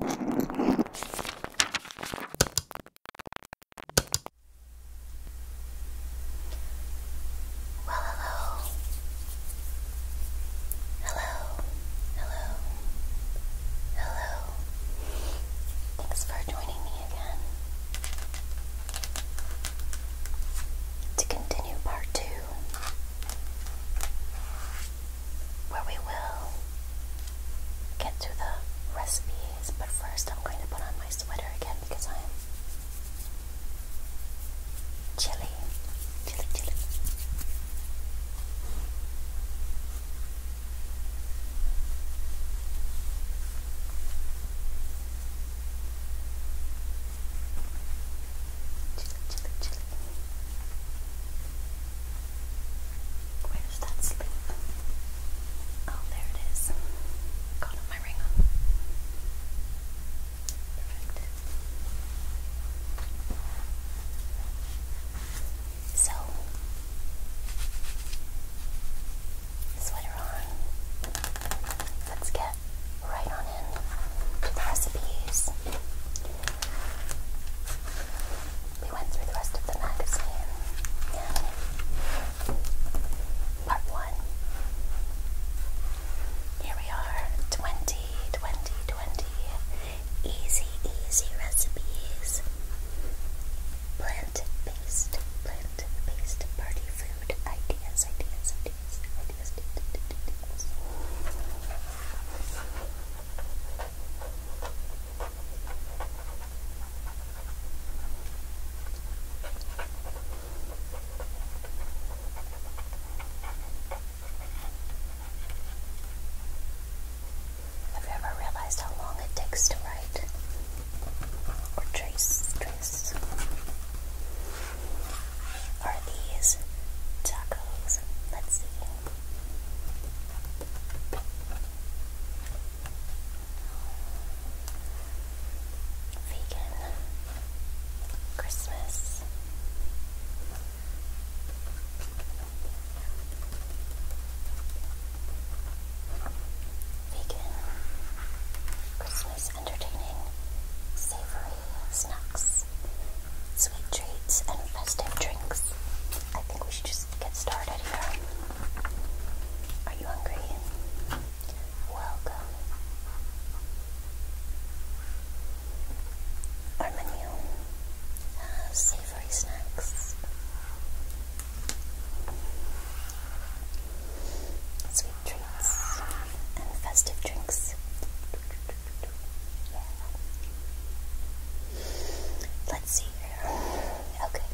Well, hello. Hello. Hello. Hello. Thanks for joining me again. To continue part two where we will get to the recipes, but first I'm going to put on my sweater again because I'm chilly, chilly, chilly. Chilly, chilly, chilly. Where's that sleeve? Oh, there it is. Got my ring on. Perfect. So, sweater on. Let's get right on in to recipes. We went through the rest of the magazine in part one. Here we are 20, easy, easy recipes. Plant based, plant based party food ideas, ideas, ideas, ideas. ideas. Have ever realized how long it takes to write or trace? Trace? Are these tacos? Let's see. Vegan Christmas. Vegan Christmas entertaining savory snacks sweet treats and festive drinks. I think we should just get started here. Are you hungry? Welcome. Our menu savory snacks, sweet treats, and festive drinks. Let's see here. Okay.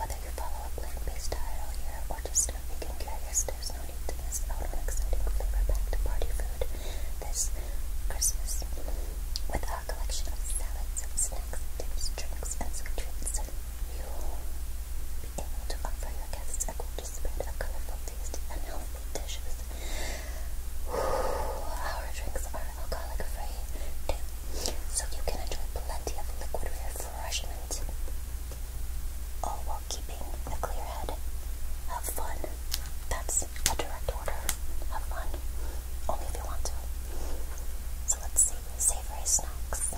Whether you follow a plant-based diet all year or just start vegan curious, there's no need to miss out on exciting flavor-packed party food this Christmas with our collection of salads, snacks, dips, drinks, and sweet treats. You will be able to offer your guests a gorgeous spread of colorful our drinks are alcoholic free so you can enjoy plenty of liquid refreshment, all while keeping a clear head. Have fun. That's a direct order. Have fun. Only if you want to. So let's see. Savory snacks.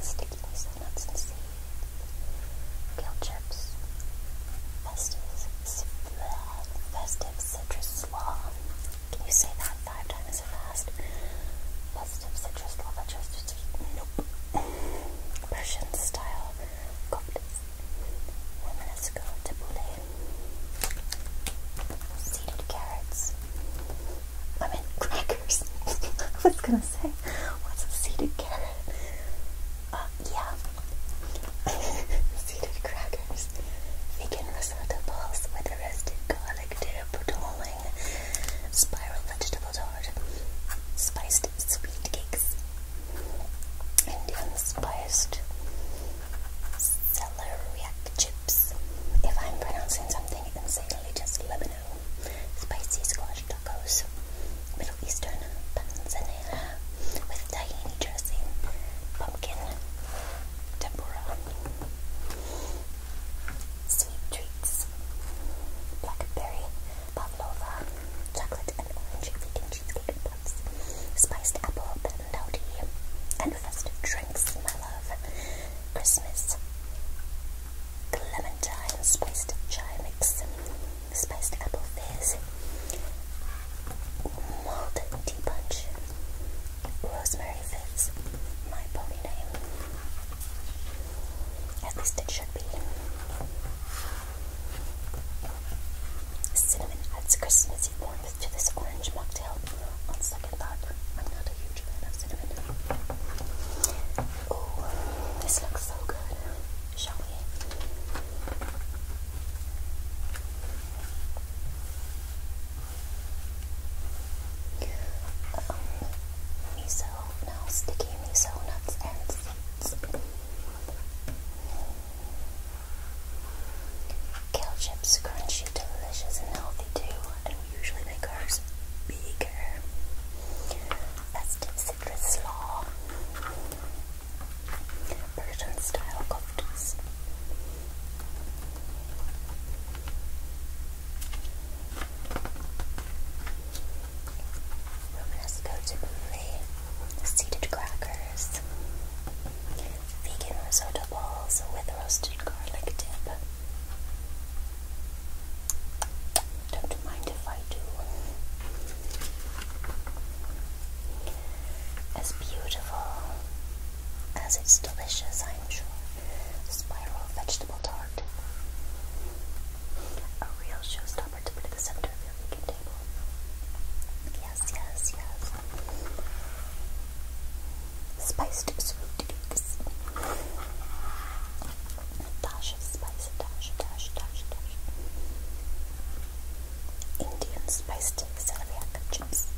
Sticky nuts and seeds. Kale chips. Pestis. Festive Citrus Law. Can you say that five times fast? Festive Citrus Law, but just nope. Persian style cocktails. And let's go to boulet. Seeded carrots. I crackers. I was gonna say, what's a seeded carrot? Uh, yeah, Seeded crackers, vegan risotto balls with roasted garlic dip, darling, spiral vegetable tart, spiced sweet cakes, Indian spiced celeriac chips. If I'm pronouncing something insanely, just let me know. Spicy squash Tacos, Middle Eastern panzanella with tahini dressing, pumpkin tempura, sweet treats, blackberry pavlova, chocolate and orange vegan cheesecake puffs, spiced apple pandowdy, and festive drinks, my love, Christmas. Clementine spiced chai mix, Spiced Apple Fizz, Malt Tea Punch, Rosemary Fizz, my pony name. At least it should be. Cinnamon adds Christmassy warmth to this orange mocktail. On second thought, I'm not a huge fan of cinnamon. Oh, this looks so good. Shall we? Um, miso, no, sticky miso nuts and seeds. Kale chips, crunchy, delicious, and healthy too. And we usually make ours bigger. Festive citrus law, Persian style koftas. Romanesco tabbouleh, seeded crackers, vegan risotto balls with roasted garlic dip. Don't mind if I do. As beautiful as it's delicious, I'm sure. Spiral vegetable tart. A real showstopper to put at the center of your vegan table. Yes, yes, yes. Spiced sweet dash of spice, dash, dash, dash, dash. Indian spiced celiac chips.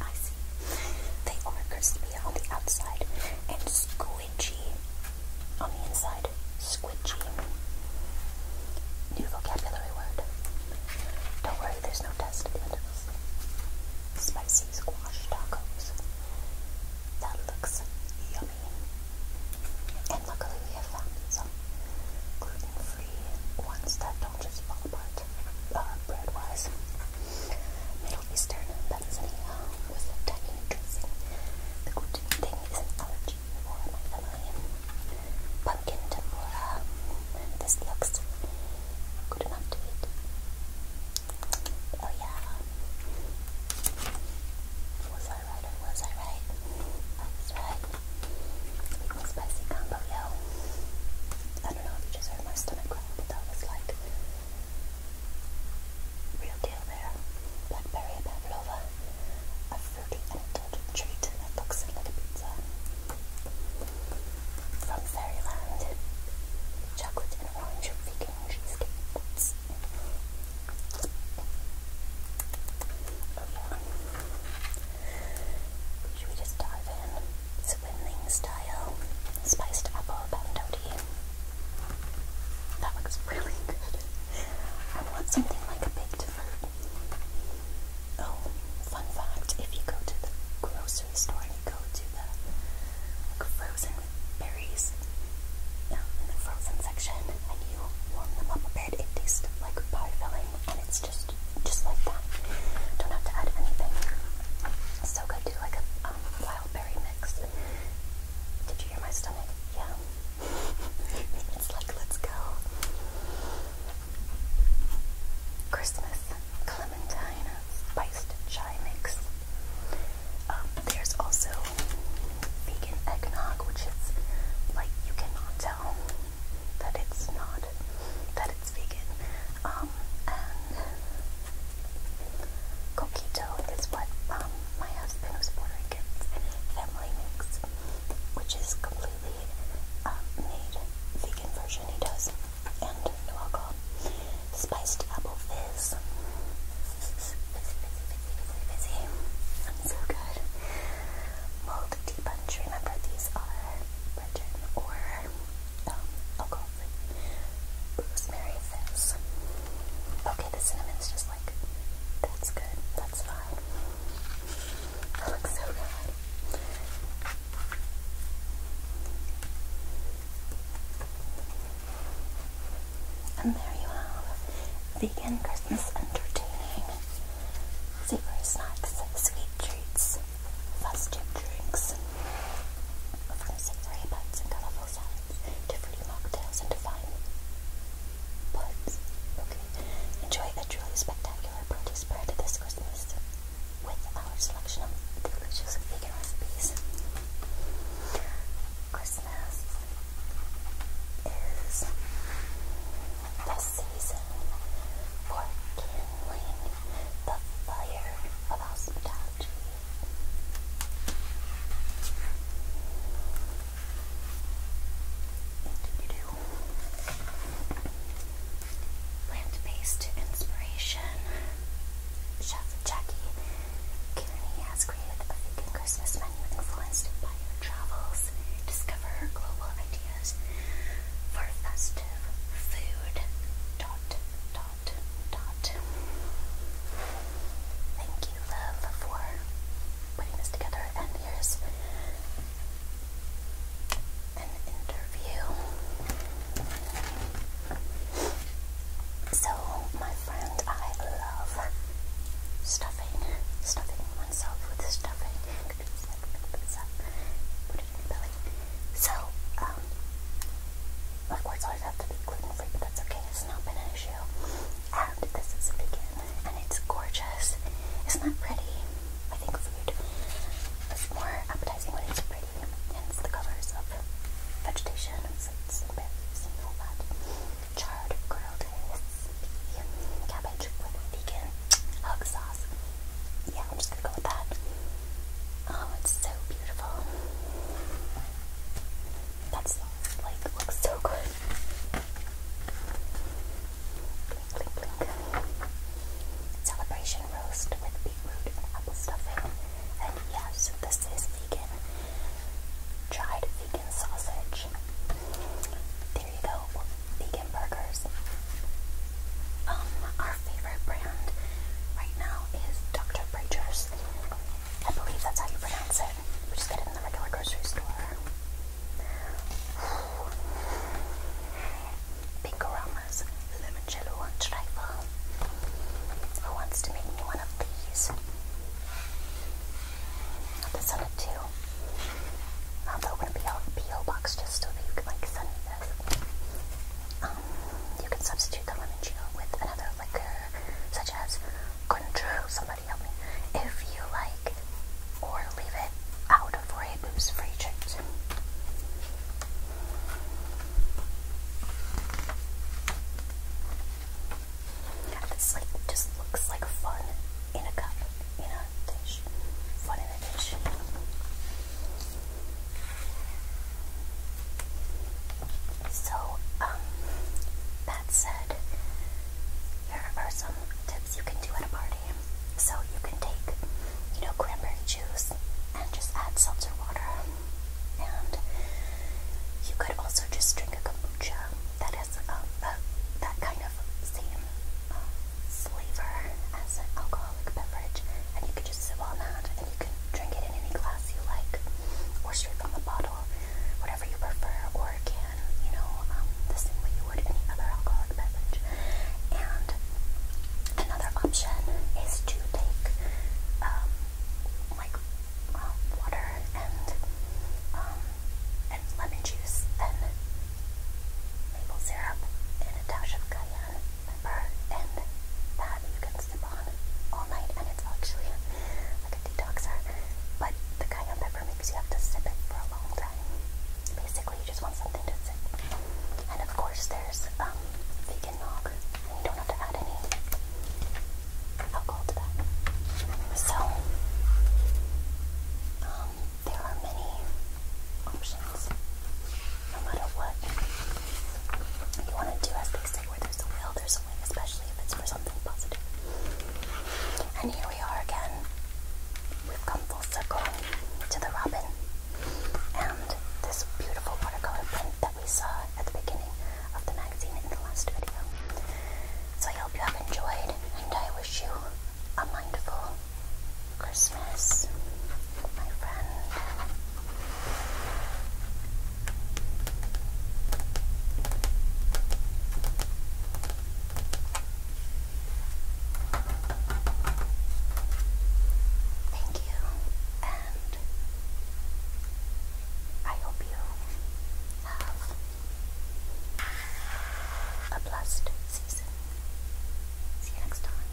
I see. They are crispy on the outside and squidgy on the inside. Squidgy. New vocabulary word. Don't worry, there's no test at the end of this. Spicy squash tacos. That looks yummy. And luckily we have found some gluten-free ones that don't just fall apart uh, bread-wise. Middle Eastern Tanzania uh, with a dressing. The gluten thing is an allergy for my family. Pumpkin tempura. This looks good enough to eat. Oh yeah. Was I right was I right? I right. spicy combo, I don't know if you just heard my stomach growl, but that was like real deal there. Blackberry pavlova, a fruity indulgent treat that looks like a pizza. From Fairyland, chocolate should we just dive in? Swindling style spiced apple bento tea. That looks really good. I want something like a baked fruit. Oh, fun fact, if you go to the grocery store go to the like, frozen berries um, in the frozen section and you warm them up a bit. It tastes like pie filling and it's just just like that. Don't have to add anything. So good. Do like a um, wild berry mix. Did you hear my stomach? Yeah. it's like let's go. Christmas spiced chai mix. Um, there's also vegan eggnog, which is like you cannot tell that it's not that it's vegan. Um, coquito is what um, my husband was Puerto Rican's family makes, which is completely uh, made vegan version. He does and no alcohol. Spiced apple fizz. Fizzy, fizzy, fizzy, fizzy. I'm so good. Mulled tea punch. Remember, these are virgin or um, alcohol free. Rosemary fizz. Okay, the cinnamon's just like, that's good, that's fine. That looks so good. And there you have vegan Christmas entertaining. Savory snacks, sweet treats, festive drinks from savory bites and colorful salads to fruity mocktails and divine buds. enjoy a truly spectacular party spread this Christmas with our selection of delicious vegan recipes. Christmas is the season for kindling the fire of hospitality. Do -do -do plant-based inspiration. Chef Jackie Kearney has created a vegan Christmas menu influenced by her travels. Discover global ideas for festive food. Dot, dot, dot. Thank you, love, for putting this together. And here's an interview. So, my friend, I love stuffing, stuffing oneself with stuffing. So, my um, cords always have to be gluten free, but that's okay, it's not been an issue. And this is vegan, and it's gorgeous. It's not that pretty? I think food is more appetizing when it's pretty hence the colours of vegetation and fruits and berries all that. Charred grilled crispy cabbage with vegan hog Yeah, I'm just gonna go with that. Oh, it's so beautiful. That like, looks so good. blink, blink. Celebration roast with beetroot and apple stuffing. And yes, this is vegan. Dried vegan sausage. There you go. Vegan burgers. Um, our favorite brand right now is Dr. Preacher's. I believe that's how you pronounce it. We just get it in the regular grocery store. Bingo Farmers Limoncello Trifle. Who wants to make me one of these? I'll this on it too. i to be a PO, PO box just so that you can like send me this. Um, you can substitute the limoncello with another liquor, such as Cointreau. Somebody help me if you like, or leave it out of but it was free chips. This like just looks like fun in a cup, in a dish, fun in a dish. So, that um, said, here are some tips you can do at a party. So you can take, you know, cranberry juice and just add seltzer water. And you could also just drink a kombucha that has um, a, that kind of same um, flavor as an alcoholic beverage. And you could just sip on that and you can drink it in any glass you like or straight from the bottle, whatever you prefer, or can, you know, um, the same way you any other alcoholic beverage. And another option is to take um, like um, water um, and lemon juice and maple syrup and a dash of cayenne pepper, and that you can sip on all night, and it's actually like a detoxer. But the cayenne pepper makes you have to sip it for a long time. Basically, you just want something to sip. And of course, there's um, vegan nog, and you don't have to add any alcohol to that. So, um, there are many options, no matter what you want to do. As they say, where there's a will, there's a way, especially if it's for something positive. And here we are again. We've come full circle to the robin and this beautiful watercolor print that we saw at the beginning of the magazine in the last video. So I hope you have enjoyed, and I wish you a mindful Christmas, my friend. Thank you, and I hope you have a blessed season. See you next time.